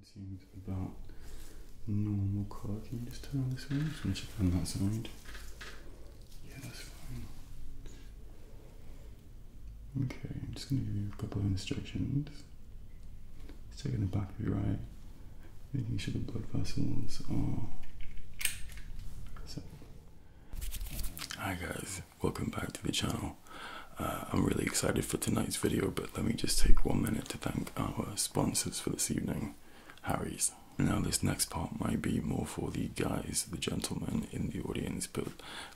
The skin seems about normal colour. Can you just turn on this one? Just want to check on that side. Yeah, that's fine. Okay, I'm just going to give you a couple of instructions. It's taking the back of your eye, making sure the blood vessels are Hi guys, welcome back to the channel. Uh, I'm really excited for tonight's video, but let me just take one minute to thank our sponsors for this evening, Harry's. Now, this next part might be more for the guys, the gentlemen in the audience, but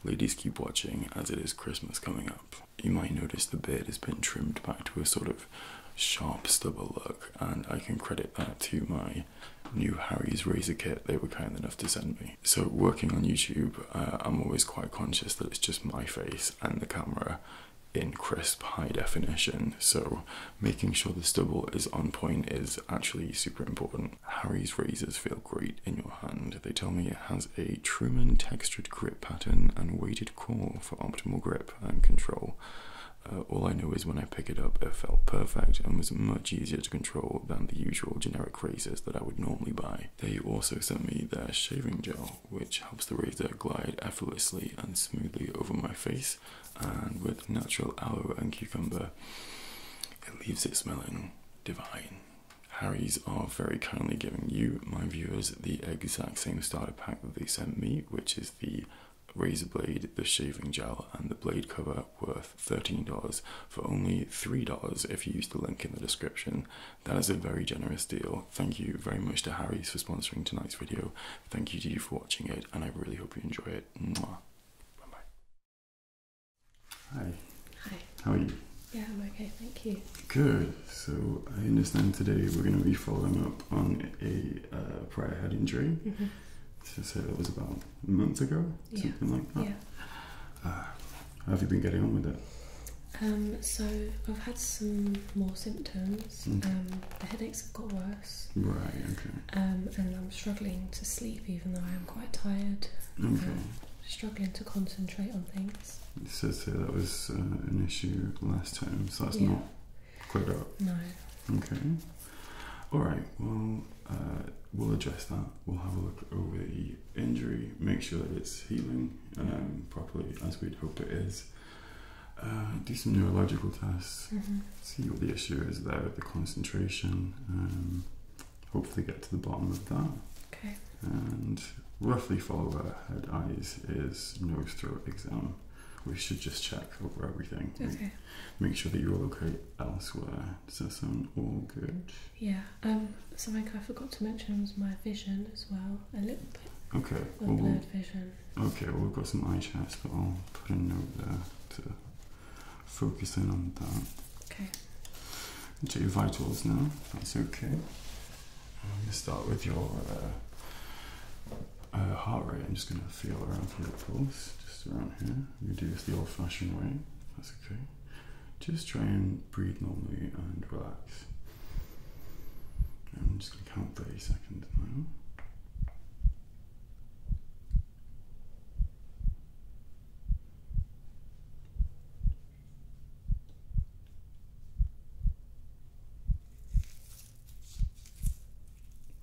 ladies keep watching as it is Christmas coming up. You might notice the beard has been trimmed back to a sort of sharp stubble look, and I can credit that to my new Harry's razor kit they were kind enough to send me. So working on YouTube, uh, I'm always quite conscious that it's just my face and the camera in crisp high definition so making sure the stubble is on point is actually super important harry's razors feel great in your hand they tell me it has a truman textured grip pattern and weighted core for optimal grip and control uh, all i know is when i picked it up it felt perfect and was much easier to control than the usual generic razors that i would normally buy they also sent me their shaving gel which helps the razor glide effortlessly and smoothly over my face. And with natural aloe and cucumber, it leaves it smelling divine. Harry's are very kindly giving you, my viewers, the exact same starter pack that they sent me, which is the razor blade, the shaving gel, and the blade cover worth $13 for only $3 if you use the link in the description. That is a very generous deal. Thank you very much to Harry's for sponsoring tonight's video. Thank you to you for watching it, and I really hope you enjoy it. Bye bye. Hi. Hi. How are you? Yeah, I'm okay, thank you. Good. So I understand today we're going to be following up on a uh, prior head injury. Mm-hmm. So, so it was about a month ago, something like that. Ah. How have you been getting on with it? Um, so I've had some more symptoms. Hmm. Um, the headaches have got worse. Right. Okay. Um, and I'm struggling to sleep, even though I am quite tired. Okay. struggling to concentrate on things. So that was uh, an issue last time, so that's not quite up. No. Okay. All right. Well, uh, we'll address that. We'll have a look over the injury, make sure that it's healing um, properly as we'd hope it is. Uh, do some neurological tests, mm-hmm. see what the issue is there the concentration, um, hopefully get to the bottom of that. Okay. And roughly follow our head eyes is nose throat exam. We should just check over everything. Okay. Make sure that you're okay elsewhere. Does that sound all good? Yeah. Um. Something I forgot to mention was my vision as well. I look Okay. Okay, we've got some eye chats, but I'll put a note there to focus in on that. Okay. Check your vitals now. That's okay. I'm gonna start with your uh, uh, heart rate. I'm just gonna feel around for your pulse, just around here. You do this the old-fashioned way. That's okay. Just try and breathe normally and relax. I'm just going to count 30 seconds now.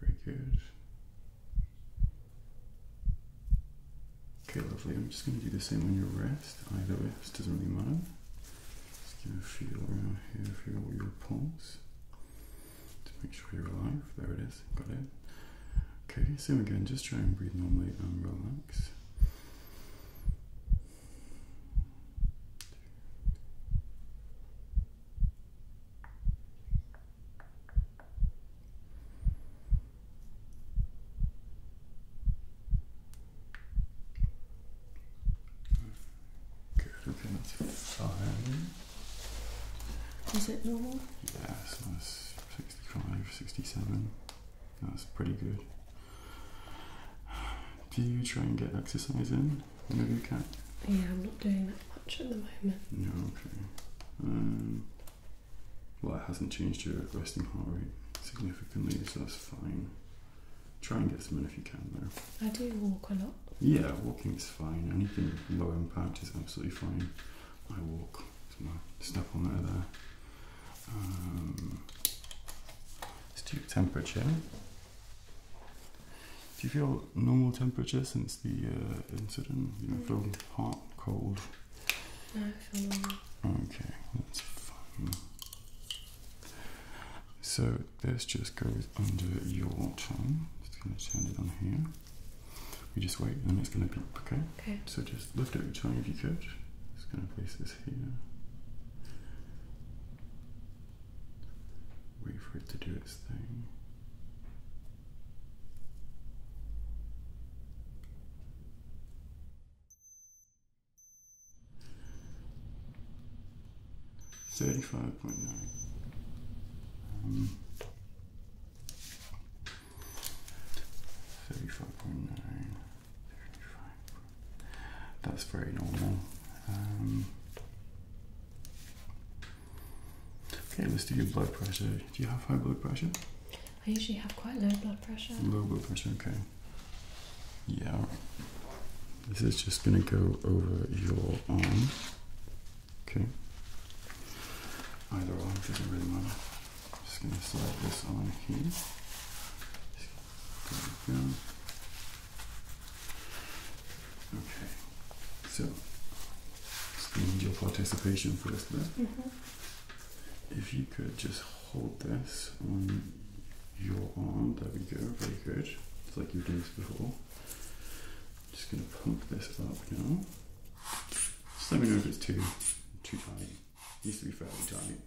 Very good. Okay, lovely. I'm just going to do the same on your wrist. Either way, this doesn't really matter. Just gonna feel around here, feel your pulse to make sure you're alive. There it is, got it. Okay, same again, just try and breathe normally and relax. Good, okay, that's fine. Is it normal? Yeah, that's 65, 67. That's pretty good. Do you try and get exercise in whenever you can? Yeah, I'm not doing that much at the moment. No, okay. Um, well, it hasn't changed your resting heart rate significantly, so that's fine. Try and get some in if you can, though. I do walk a lot. Yeah, walking is fine. Anything low impact is absolutely fine. I walk. It's my step on there. there. Um, temperature. Do you feel normal temperature since the uh, incident? You know, feel mm. hot, cold? I feel normal. Okay, that's fine. So this just goes under your tongue. Just going to turn it on here. We just wait and it's going to be okay? Okay. So just lift up your tongue if you could. Just going to place this here. Wait for it to do its thing. Thirty-five point nine. Um, Thirty-five point nine. That's very normal. Um, okay, let's do your blood pressure. Do you have high blood pressure? I usually have quite low blood pressure. Low blood pressure, okay. Yeah. This is just going to go over your arm. Okay. Either arm doesn't really matter. Just going to slide this on here. Okay. So, just need your participation first there. Mm mm-hmm. If you could just hold this on your arm. There we go, very good. It's like you've done this before. I'm just going to pump this up now. Just let me know if it's too, too tight. It needs to be fairly tight.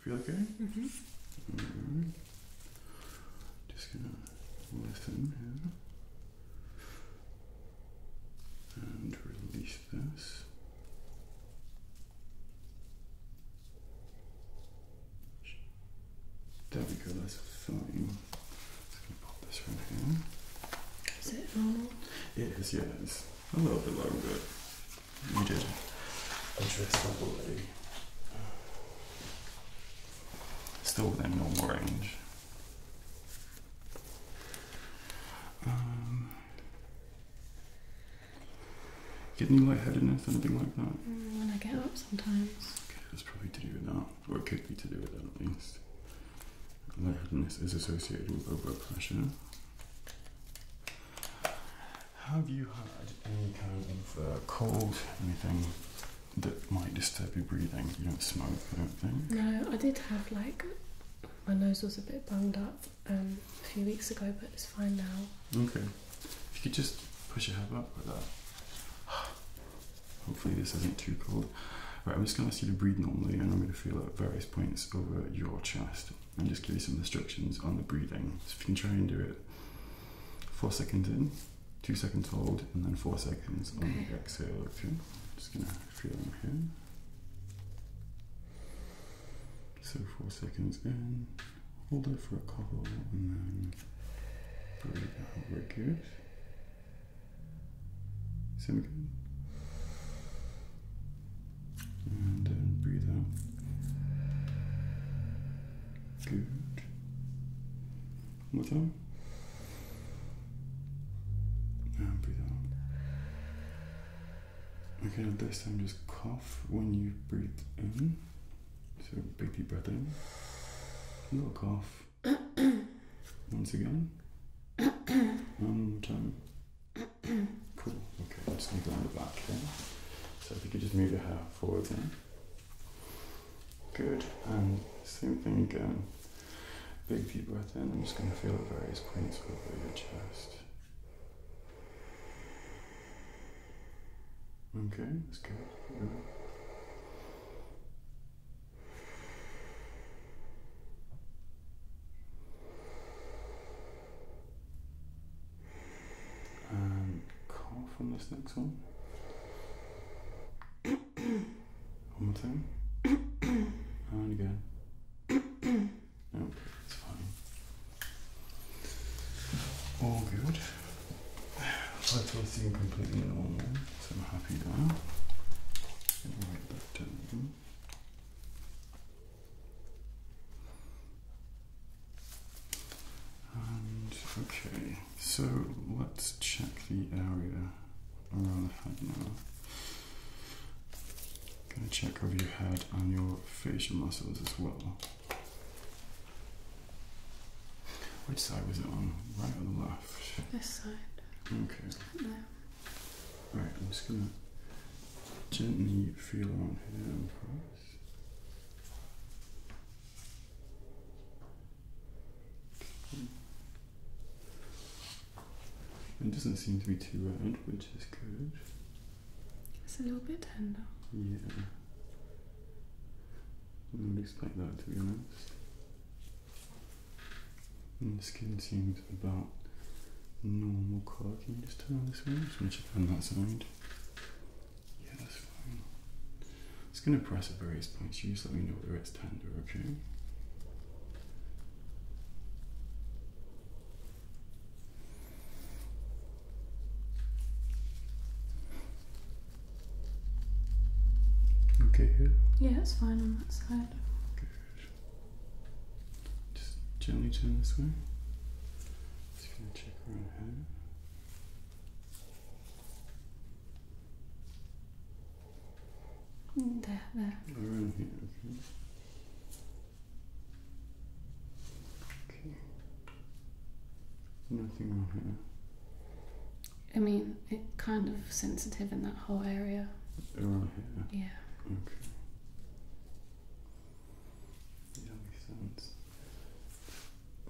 Feel okay? Mm-hmm. Right. Just gonna listen here and release this. There we go, that's fine. Just going pop this right here. Is it normal? Yes. yes. a little bit long, but we did interesting way. Still within normal range. Um, getting you lightheadedness, anything like that? Mm, when I get up sometimes. Okay, that's probably to do with that, or it could be to do with that at least. Lightheadedness is associated with low Have you had any kind of uh, cold, anything that might disturb your breathing? You don't smoke, no, I did have like my nose was a bit bunged up um, a few weeks ago, but it's fine now. Okay, if you could just push your head up like that. Hopefully, this isn't too cold. Right, I'm just going to see you breathe normally, and I'm going to feel at various points over your chest and just give you some instructions on the breathing. So, if you can try and do it four seconds in, two seconds hold, and then four seconds on the exhale. Okay, just going to film here. So four seconds in, hold it for a couple and then breathe out, we're good. Same again. And then breathe out. Good. One more time. And breathe out. Okay, this time just cough when you breathe in. So big deep breath in. A little cough. Once again. One time. Cool. Okay, just gonna go on the back here. So if you could just move your hair forward then. Good. And same thing again. Big deep breath in. I'm just going to feel at various points over your chest. Okay, that's good. good. And cough on this next one. One more time. and again. No, it's fine. All good. That does seem completely normal, so I'm happy now. And okay, so let's check the area I'm going to check over your head and your facial muscles as well. Which side was it on? Right or left? This side. Okay. Alright, I'm just going to gently feel around here it doesn't seem to be too round, which is good. It's a little bit tender. Yeah. I wouldn't expect that to be honest. the skin seems about normal colour. Can you just turn on this way? Just want to check on that side. Yeah, that's fine. It's going to press at various points. You just let me know whether it's tender, okay? Okay here? Yeah, it's fine on that side. Just gently turn this way. Just gonna check around here. There, there. Nothing on here. I mean, it's kind of sensitive in that whole area. Around here? Yeah. Okay.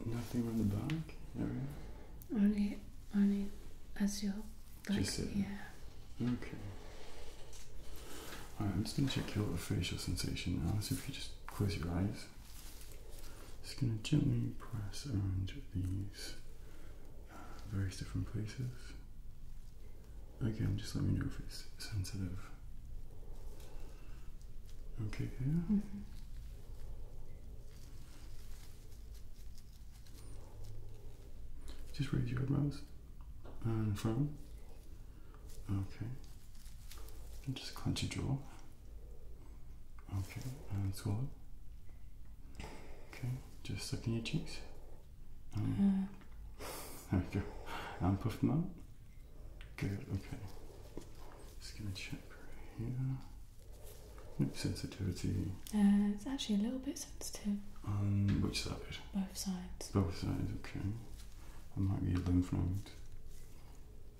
Nothing on the back area? Only morning as you Yeah. Okay. Alright, I'm just gonna check your facial sensation now. Let's see if you just close your eyes. Just gonna gently press around these uh, various different places. Again, just let me know if it's sensitive. Okay, Yeah. Mm-hmm. Just raise your eyebrows and frown. Okay. And just clench your jaw. Okay. And swallow. Okay. Just suck in your cheeks. Mm-hmm. There we go. And puff them out. Good. Okay. Just gonna check right here sensitivity. Uh, it's actually a little bit sensitive. Um, which side? Both sides. Both sides, okay. I might be a little node.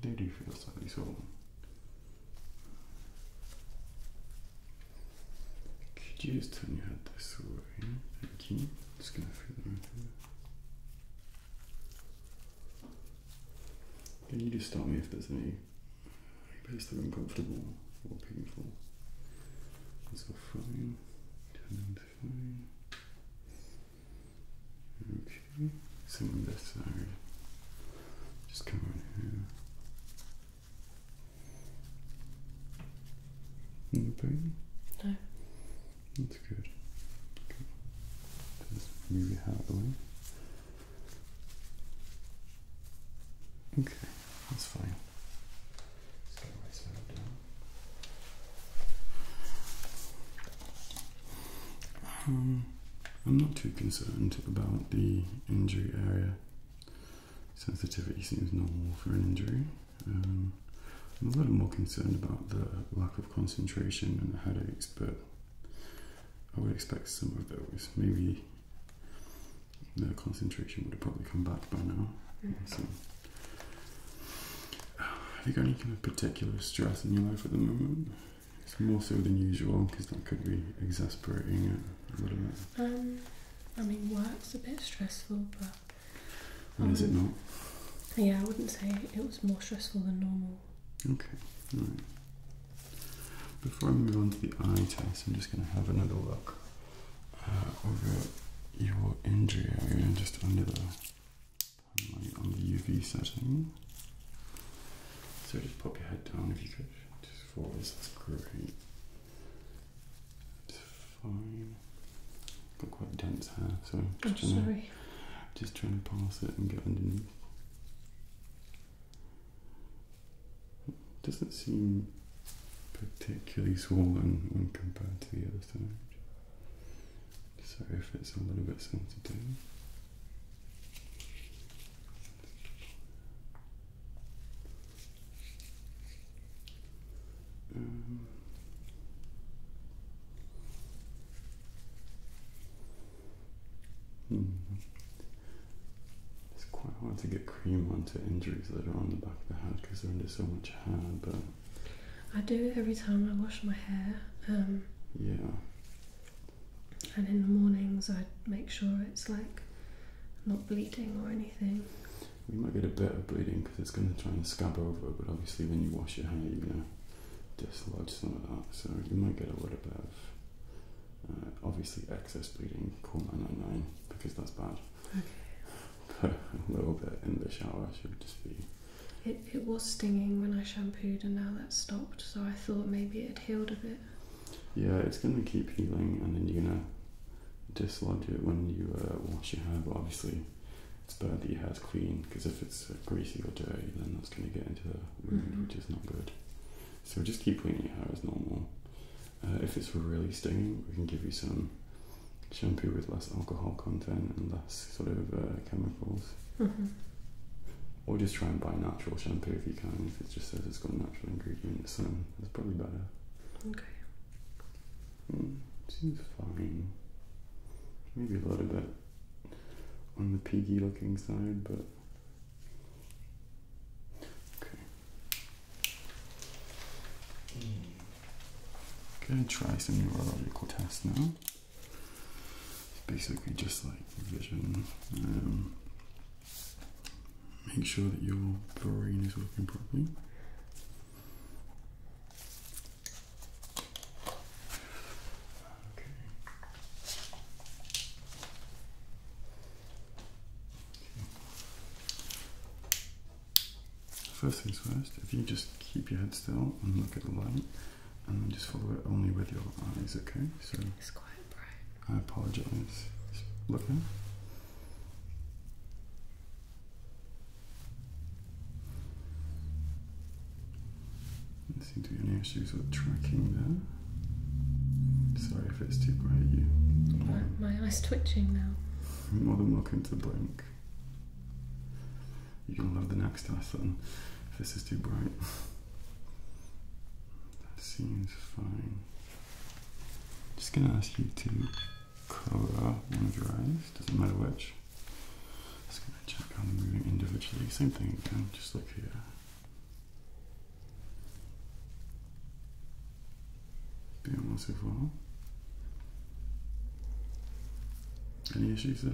They do feel slightly sore? Could you just turn your head this way? Thank you. Just gonna feel them Can you just stop me if there's any Maybe it's the uncomfortable or painful. It's all fine. Ten fine. Okay. Same on this side. Just come on here. No pain? No. That's good. Okay. Just move your hat Okay, that's fine. Um, I'm not too concerned about the injury area. Sensitivity seems normal for an injury. Um, I'm a little more concerned about the lack of concentration and the headaches, but I would expect some of those. Maybe the concentration would have probably come back by now. Mm -hmm. have you got any kind of particular stress in your life at the moment? It's more so than usual because that could be exasperating a little bit. Um, I mean, work's a bit stressful, but. is it um, not? Yeah, I wouldn't say it was more stressful than normal. Okay, alright. Before I move on to the eye test, I'm just going to have another look uh, over your injury area and just under the on the UV setting. So just pop your head down if you could, just forwards, that's great. It's fine. Got quite dense hair, so oh, just, trying To, just trying to pass it and get underneath. It doesn't seem particularly swollen when compared to the other side. So if it's a little bit sensitive. Um, hmm. It's quite hard to get cream onto injuries that are on the back of the head because they're under so much hair. But I do it every time I wash my hair. Um, yeah. And in the mornings, I make sure it's like not bleeding or anything. We might get a bit of bleeding because it's going to try and scab over, but obviously, when you wash your hair, you're going to dislodge some of that. So, you might get a little bit of uh, obviously excess bleeding. Call 999 because that's bad. Okay. a little bit in the shower should just be. It, it was stinging when I shampooed, and now that's stopped, so I thought maybe it had healed a bit. Yeah, it's going to keep healing, and then you're going to dislodge it when you uh, wash your hair, but obviously it's better to have hair's clean because if it's uh, greasy or dirty, then that's going to get into the wound, mm-hmm. which is not good. So just keep cleaning your hair as normal. Uh, if it's really stinging, we can give you some shampoo with less alcohol content and less sort of uh, chemicals. Mm-hmm. Or just try and buy natural shampoo if you can. If it just says it's got natural ingredients, then that's probably better. Okay. Mm, seems fine. Maybe a little bit on the piggy looking side, but Okay. Gonna try some neurological tests now. basically just like vision. Um, make sure that your brain is working properly. Okay. First things first, if you just keep your head still and look at the light and just follow it only with your eyes, okay? So it's quite bright. I apologize. Just look now. There seem to be any issues with tracking there. Sorry if it's too grey you. My, eye's twitching now. You're more than welcome to blink. You can love the next lesson if this is too bright. seems fine. Just gonna ask you to colour one of your eyes, doesn't matter which. Just gonna check on the moving individually. Same thing again, just look here. Bien, on Any issues there?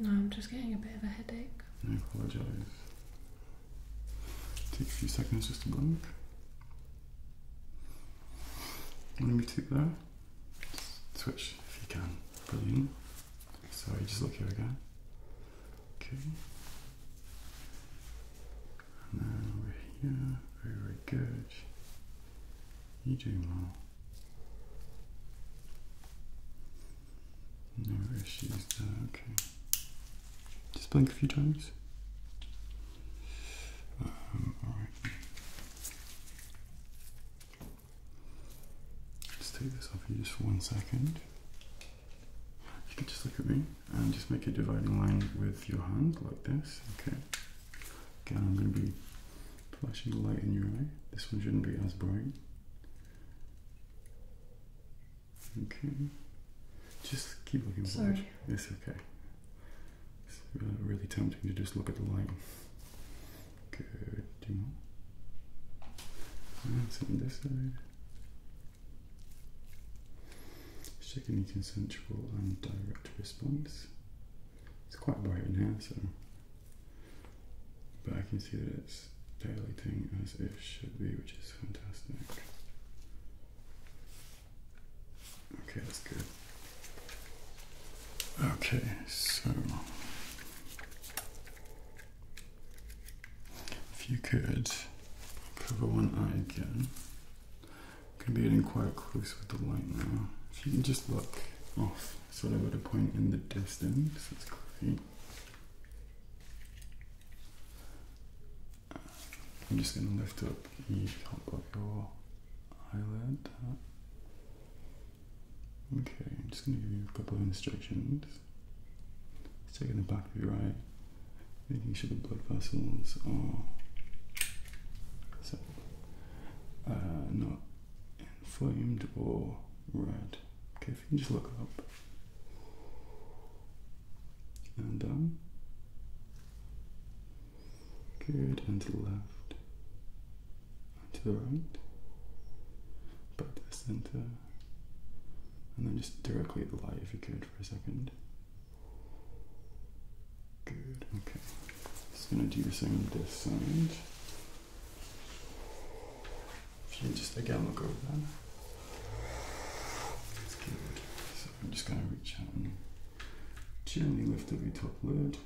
No, I'm just getting a bit of a headache. I apologize. Take a few seconds just to blink. Let me take that. Switch if you can. Brilliant. Sorry, just look here again. Okay. And then over here, very, very good. you do doing No issues there, okay. Just blink a few times. Alright. let take this off you just for one second. If You can just look at me and just make a dividing line with your hand like this. Okay. Again, I'm going to be flashing the light in your eye. This one shouldn't be as bright. Okay. Just keep looking forward. It's okay. It's really, tempting to just look at the light. Good. Do more. And on this side. Particularly consensual and direct response. It's quite bright now, so. But I can see that it's dilating as it should be, which is fantastic. Okay, that's good. Okay, so if you could cover one eye again, can be getting quite close with the light now. If you can just look off sort of at a point in the distance, that's great. I'm just going to lift up the top your eyelid. Okay, I'm just going to give you a couple of instructions. It's taking the back of your eye making sure the blood vessels are so, uh, not inflamed or red. Okay, if you can just look up and down. Um, good, and to the left, and to the right, back to the center, and then just directly at the light if you could for a second. Good, okay. Just gonna do the same this side. If you just again look over there. That's good. So I'm just gonna reach out and gently lift the your top lid.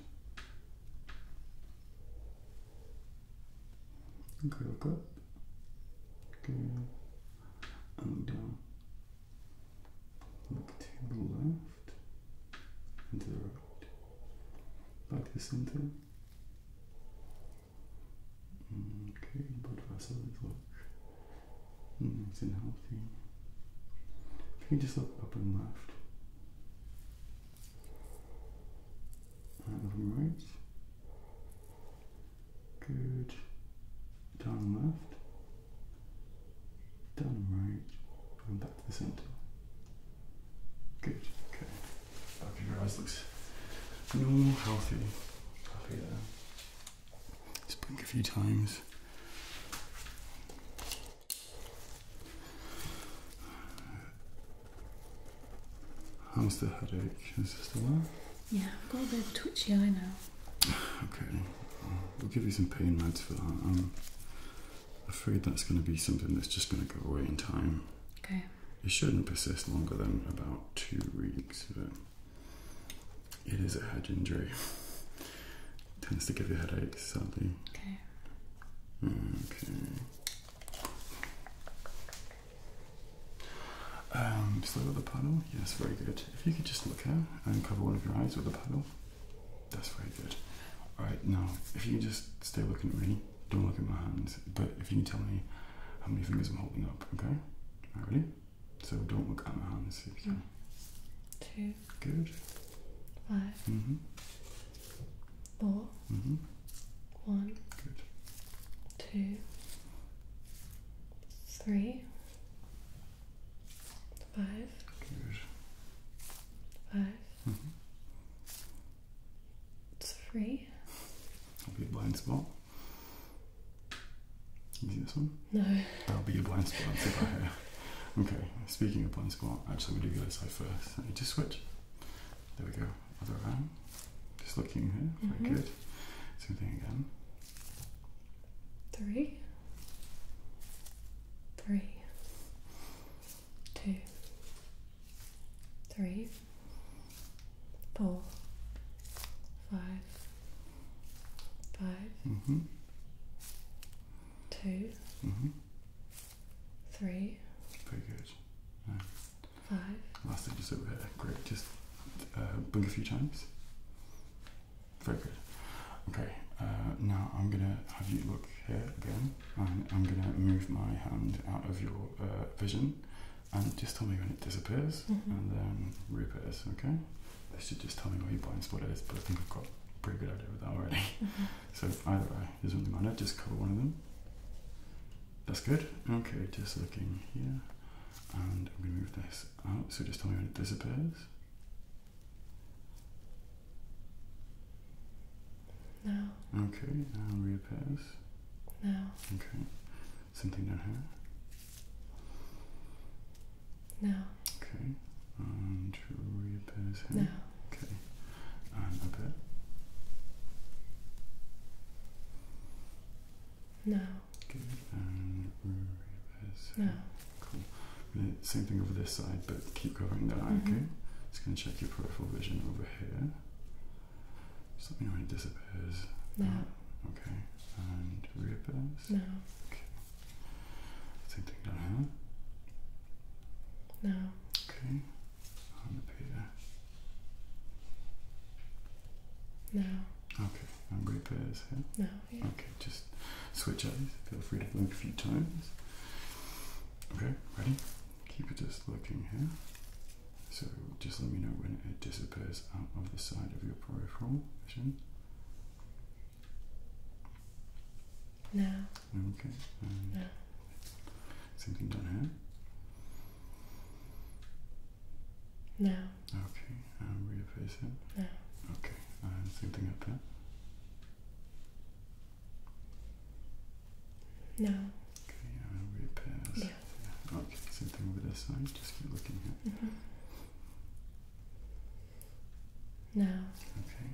Okay, up. Good. And down to the left and to the right back to the center okay but vessel mm, is nice and healthy if you just look up and left and from right good down left Done right. Going back to the centre. Good. Okay. Okay, your eyes looks normal, healthy. Happy Just blink a few times. How's the headache? Is this the one? Yeah, I've got a bit of a twitchy eye now. Okay, we'll give you some pain meds for that. I'm afraid that's going to be something that's just going to go away in time. Okay. It shouldn't persist longer than about two weeks, but it is a head injury. It tends to give you headaches, sadly. Okay. Okay. Um, slow with the paddle. Yes, very good. If you could just look out and cover one of your eyes with the paddle. That's very good. All right, now if you just stay looking at me, don't look at my hands. But if you can tell me how many fingers I'm holding up, okay? All right, ready? So don't look at my hands. If Two. Good. five, mm-hmm. four, mm-hmm. one, two, three. Five. Five. It's -hmm. Three. That'll be a blind spot. Can this one? No. That'll be a blind spot. That's about here. Okay, speaking of blind spot, actually, we do the other side first. Let me just switch. There we go. Other around. Just looking here. Very mm-hmm. good. Same thing again three, three, two, three, four, five, five, mm-hmm. two, mm-hmm. three. Very good. Right. Five. Last thing, just over here. Great. Just uh, blink a few times. Very good. Okay, uh, now I'm gonna have you look here again, and I'm gonna move my hand out of your uh, vision, and just tell me when it disappears, mm-hmm. and then reappears. Okay. They should just tell me where your blind spot is, but I think I've got a pretty good idea without that already. Mm-hmm. So either way, doesn't really matter. Just cover one of them. That's good. Okay, just looking here, and I'm gonna move this this oh, so just tell me when it disappears. No. Okay, now reappears. No. Okay. Something down here? No. Okay. And reappears here? No. Okay. And no. Okay. No. Cool. Uh, same thing over this side, but keep covering that mm-hmm. okay? Just gonna check your peripheral vision over here. Something let disappears. No. Oh, okay. And reappears. No. Okay. Same thing down here. No. Okay. And up here. No. Okay, I'm ready for this. No, yeah. Okay, just switch eyes. Feel free to blink a few times. Okay, ready? Keep it just looking here. So just let me know when it disappears out of the side of your peripheral vision. No. Okay. Um, no. Something down here? No. Okay, and will you it? Uh, no. Okay, same thing up there? No. Okay, and Yeah. Okay, same thing over this side, just keep looking here. Mm-hmm. No. Okay.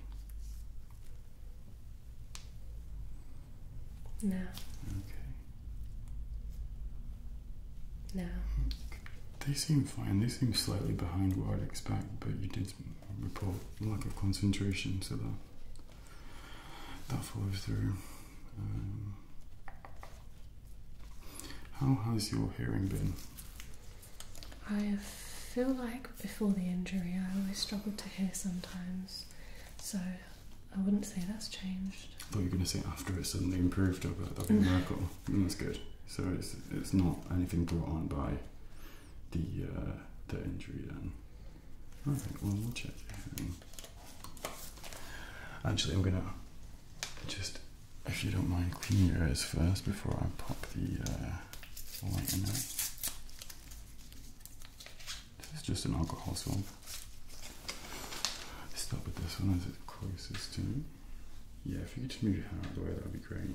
No. Okay. No. They seem fine. They seem slightly behind what I'd expect, but you did report lack of concentration, so that that follows through. Um, how has your hearing been? I feel like before the injury, I always struggled to hear sometimes, so I wouldn't say that's changed. I thought you were going to say after it suddenly improved, but that'd be a miracle. Mm, that's good. So it's it's not anything brought on by the uh, the injury then. Alright, one more check. actually, I'm gonna just, if you don't mind, clean your eyes first before I pop the uh, light in there. This is just an alcohol swab. Start with this one as it's closest to. Yeah, if you could just move it out of the way, that would be great.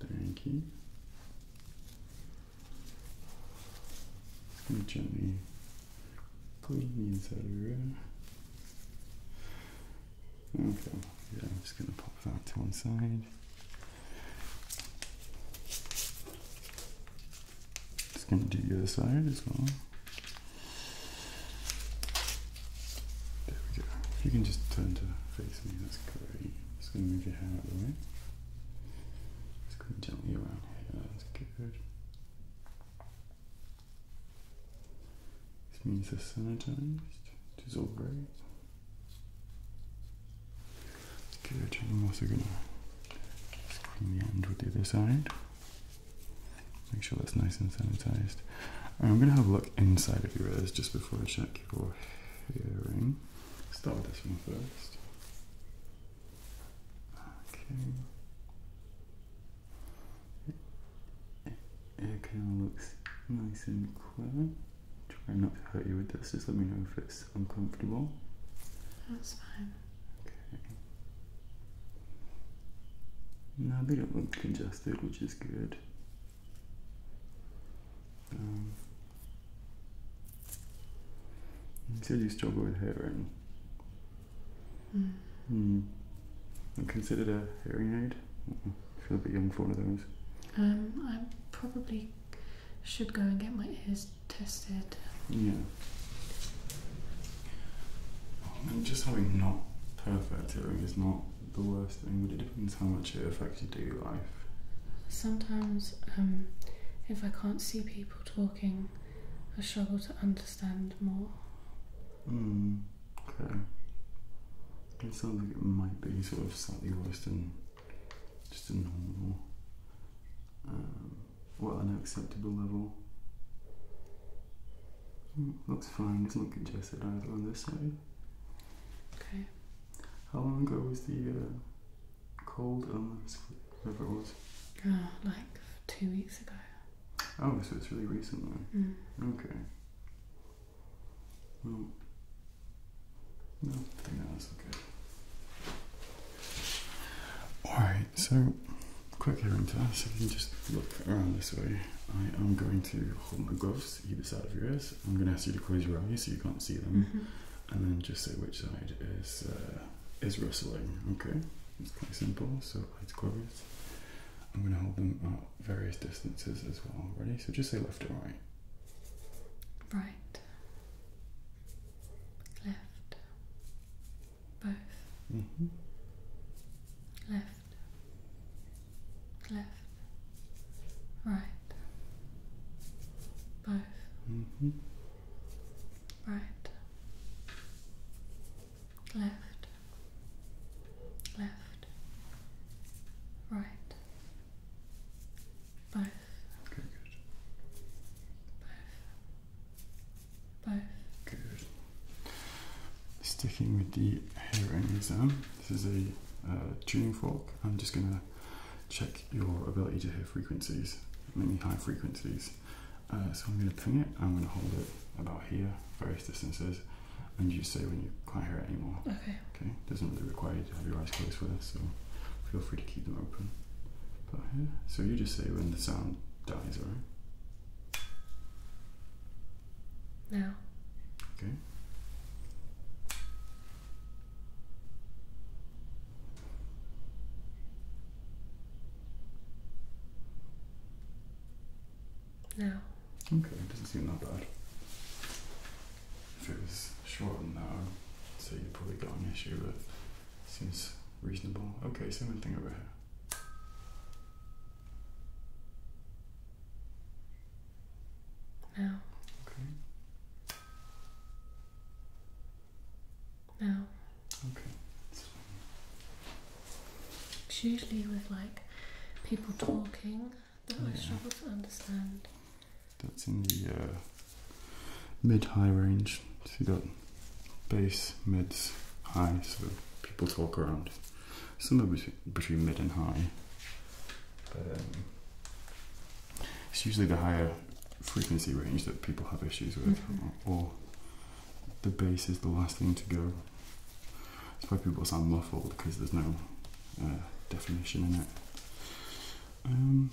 Thank you. Just going to gently clean the inside of your Okay, yeah, I'm just going to pop that to one side. Just going to do the other side as well. There we go. If you can just turn to face me, that's great. Just going to move your hand out of the way. Just going gently around here. That's good. This means they're sanitized, which is all great. Good. I'm also going to clean the end with the other side. Make sure that's nice and sanitized. I'm gonna have a look inside of your ears just before I check your hearing. Start with this one first. Okay. It kind of looks nice and clear. Try not to hurt you with this. Just let me know if it's uncomfortable. That's fine. Okay. Now a bit of look congested, which is good. Um, you said you struggle with hearing. Mm. Mm. And considered a hearing aid? I mm-hmm. feel a bit young for one of those. Um, I probably should go and get my ears tested. Yeah. And just having not perfect hearing is not the worst thing, but it depends how much it affects your daily life. Sometimes, um, if I can't see people talking, I struggle to understand more. Hmm, okay. It sounds like it might be sort of slightly worse than just a normal, um, well, an acceptable level looks fine, It's not congested either on this side. Okay. How long ago was the uh, cold illness, whatever it was? Uh, like two weeks ago. Oh, so it's really recent then? Mm. Okay. Well, no, I think that's good. Alright, so quick hearing test. If you can just look around this way, I am going to hold my gloves either side of your ears. I'm going to ask you to close your eyes so you can't see them, mm-hmm. and then just say which side is uh, is rustling. Okay, it's quite simple. So eyes closed. I'm going to hold them at various distances as well. Ready? So just say left or right. Right. Left. Both. Mm-hmm. Left left, right, both, mm-hmm. right, left, left, right, both, okay, good. both, both, good. Sticking with the hearing exam, this is a uh, tuning fork. I'm just going to check your ability to hear frequencies, mainly high frequencies. Uh, so I'm going to ping it, I'm going to hold it about here, various distances, and you say when you can't hear it anymore. Okay. Okay, doesn't really require you to have your eyes closed for this, so feel free to keep them open. But here, so you just say when the sound dies, right? No. Okay. No. Okay, it doesn't seem that bad. If it was shorter short and narrow, say you would probably got an issue, but seems reasonable. Okay, Same thing over here. Now. Okay. Now. Okay. It's usually with like people talking that I struggle to understand. That's in the uh, mid high range. See that? Bass, mids, high, so people talk around somewhere between mid and high. Um, it's usually the higher frequency range that people have issues with, mm-hmm. or, the bass is the last thing to go. That's why people sound muffled because there's no uh, definition in it. Um,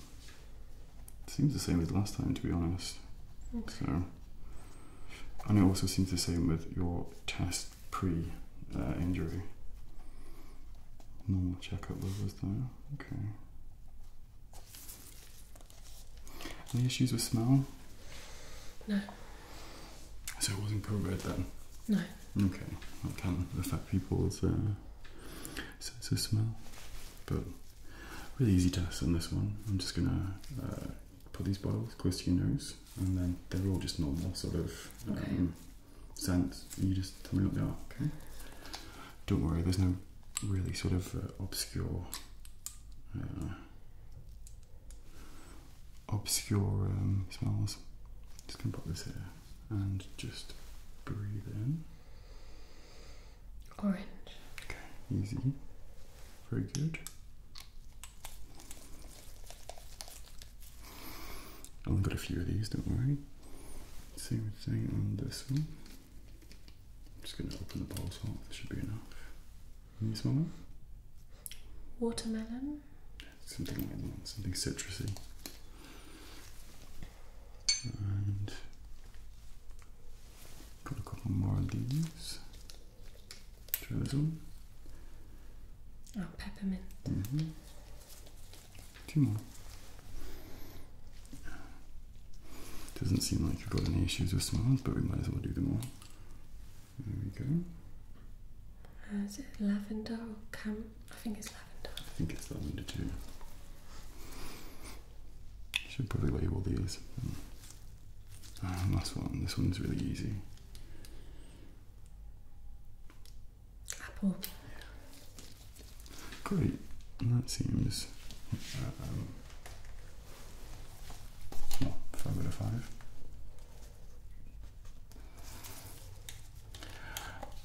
seems the same as last time, to be honest. So, and it also seems the same with your test pre-injury. Uh, Normal checkup levels though. Okay. Any issues with smell? No. So it wasn't COVID then? No. Okay. That can affect people's uh, sense of smell. But really easy test on this one. I'm just gonna uh, put these bottles close to your nose and then they're all just normal sort of um, scents. you just tell me what they Okay. Don't worry, there's no really sort of uh, obscure, uh, obscure um, smells. Just gonna this here and just breathe in. Orange. Okay, easy. Very good. I only got a few of these, don't worry. Same thing on this one. I'm just going to open the bottle off, this should be enough. Can smell Watermelon? Something something citrusy. And got a couple more of these. Jerusalem. Oh, peppermint. Two more. Doesn't seem like you've got any issues with smells, but we might as well do them all. There we go. Uh, is it lavender or cam? I think it's lavender. I think it's lavender too. Should probably label these. last mm. ah, one. This one's really easy. Apple. Great. That seems uh, um, five out of five.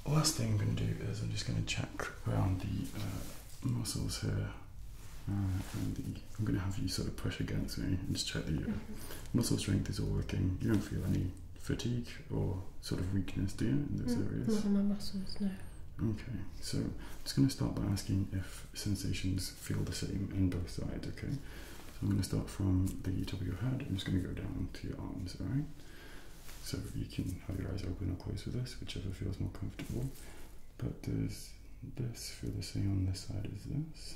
Last thing I'm going to do is I'm just going to check around the uh, muscles here. Uh, and I'm going to have you sort of push against me and just check the. Mm-hmm muscle strength is all working. You don't feel any fatigue or sort of weakness, do you, in those mm, areas? Not in my muscles, no. Okay, so I'm just going to start by asking if sensations feel the same in both sides, okay? So I'm going to start from the top of your head. I'm just going to go down to your arms, alright? So you can have your eyes open or closed with us, whichever feels more comfortable. But does this feel the same on this side as this?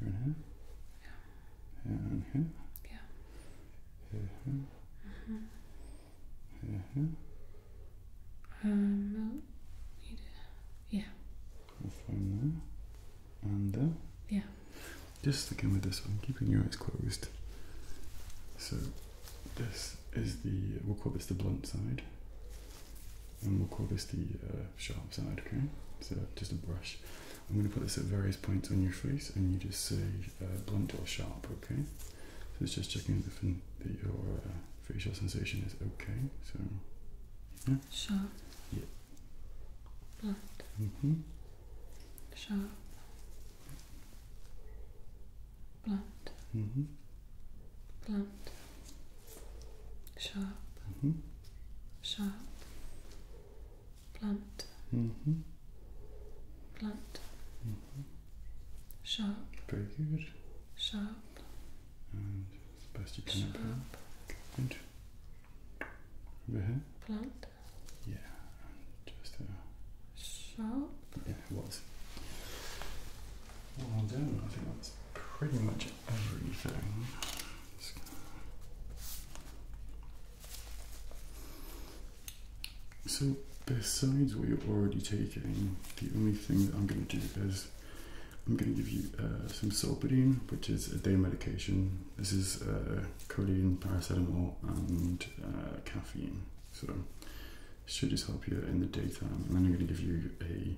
here and here, yeah. here and here, yeah. Uh-huh. Uh-huh. here, here, here, Um, yeah. we there and there. Yeah. Just again with this one, keeping your eyes closed. So this is the we'll call this the blunt side, and we'll call this the uh, sharp side, okay? So just a brush. I'm going to put this at various points on your face and you just say uh, blunt or sharp, okay? So it's just checking that your uh, facial sensation is okay. So, yeah. Sharp. Yeah. Blunt. hmm Sharp. Blunt. hmm Blunt. Sharp. Mm -hmm. Sharp. Blunt. Mm-hmm. Blunt. Mm-hmm. Sharp. Very good. Sharp. And as best you can. Sharp. And over Blunt. Yeah. just Sharp. Yeah, it Well done. I think that's pretty much it everything. so, besides what you're already taking, the only thing that I'm going to do is I'm going to give you uh, some sulpidine, which is a day medication. This is uh, codeine, paracetamol, and uh, caffeine. So, should just help you in the daytime. And then I'm going to give you a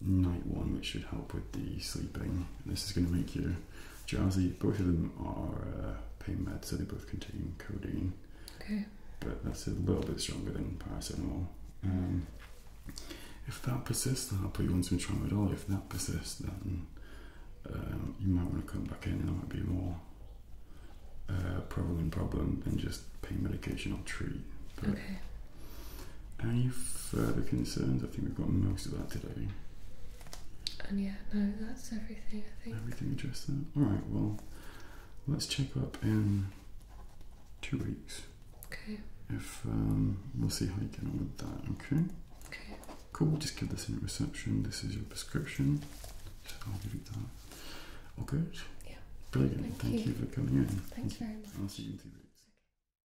night one, which should help with the sleeping. This is going to make you drowsy. Both of them are uh, pain meds, so they both contain codeine. Okay. But that's a little bit stronger than paracetamol. Um, if that persists, then I'll put you on some tramadol. If that persists, then um, you might want to come back in, and might be more problem uh, prevalent problem than just pain medication or treat. okay. Any further concerns? I think we've got most of that today. And yeah, no, that's everything, I think. Everything addressed there. Alright, well, let's check up in two weeks. Okay. If um, we'll see how you get on with that, okay? Okay. Cool, just give this in reception. This is your prescription. I'll give you that. All good? Yeah. Brilliant. Thank, you. you. for coming in. Thanks very much. I'll see you in two weeks.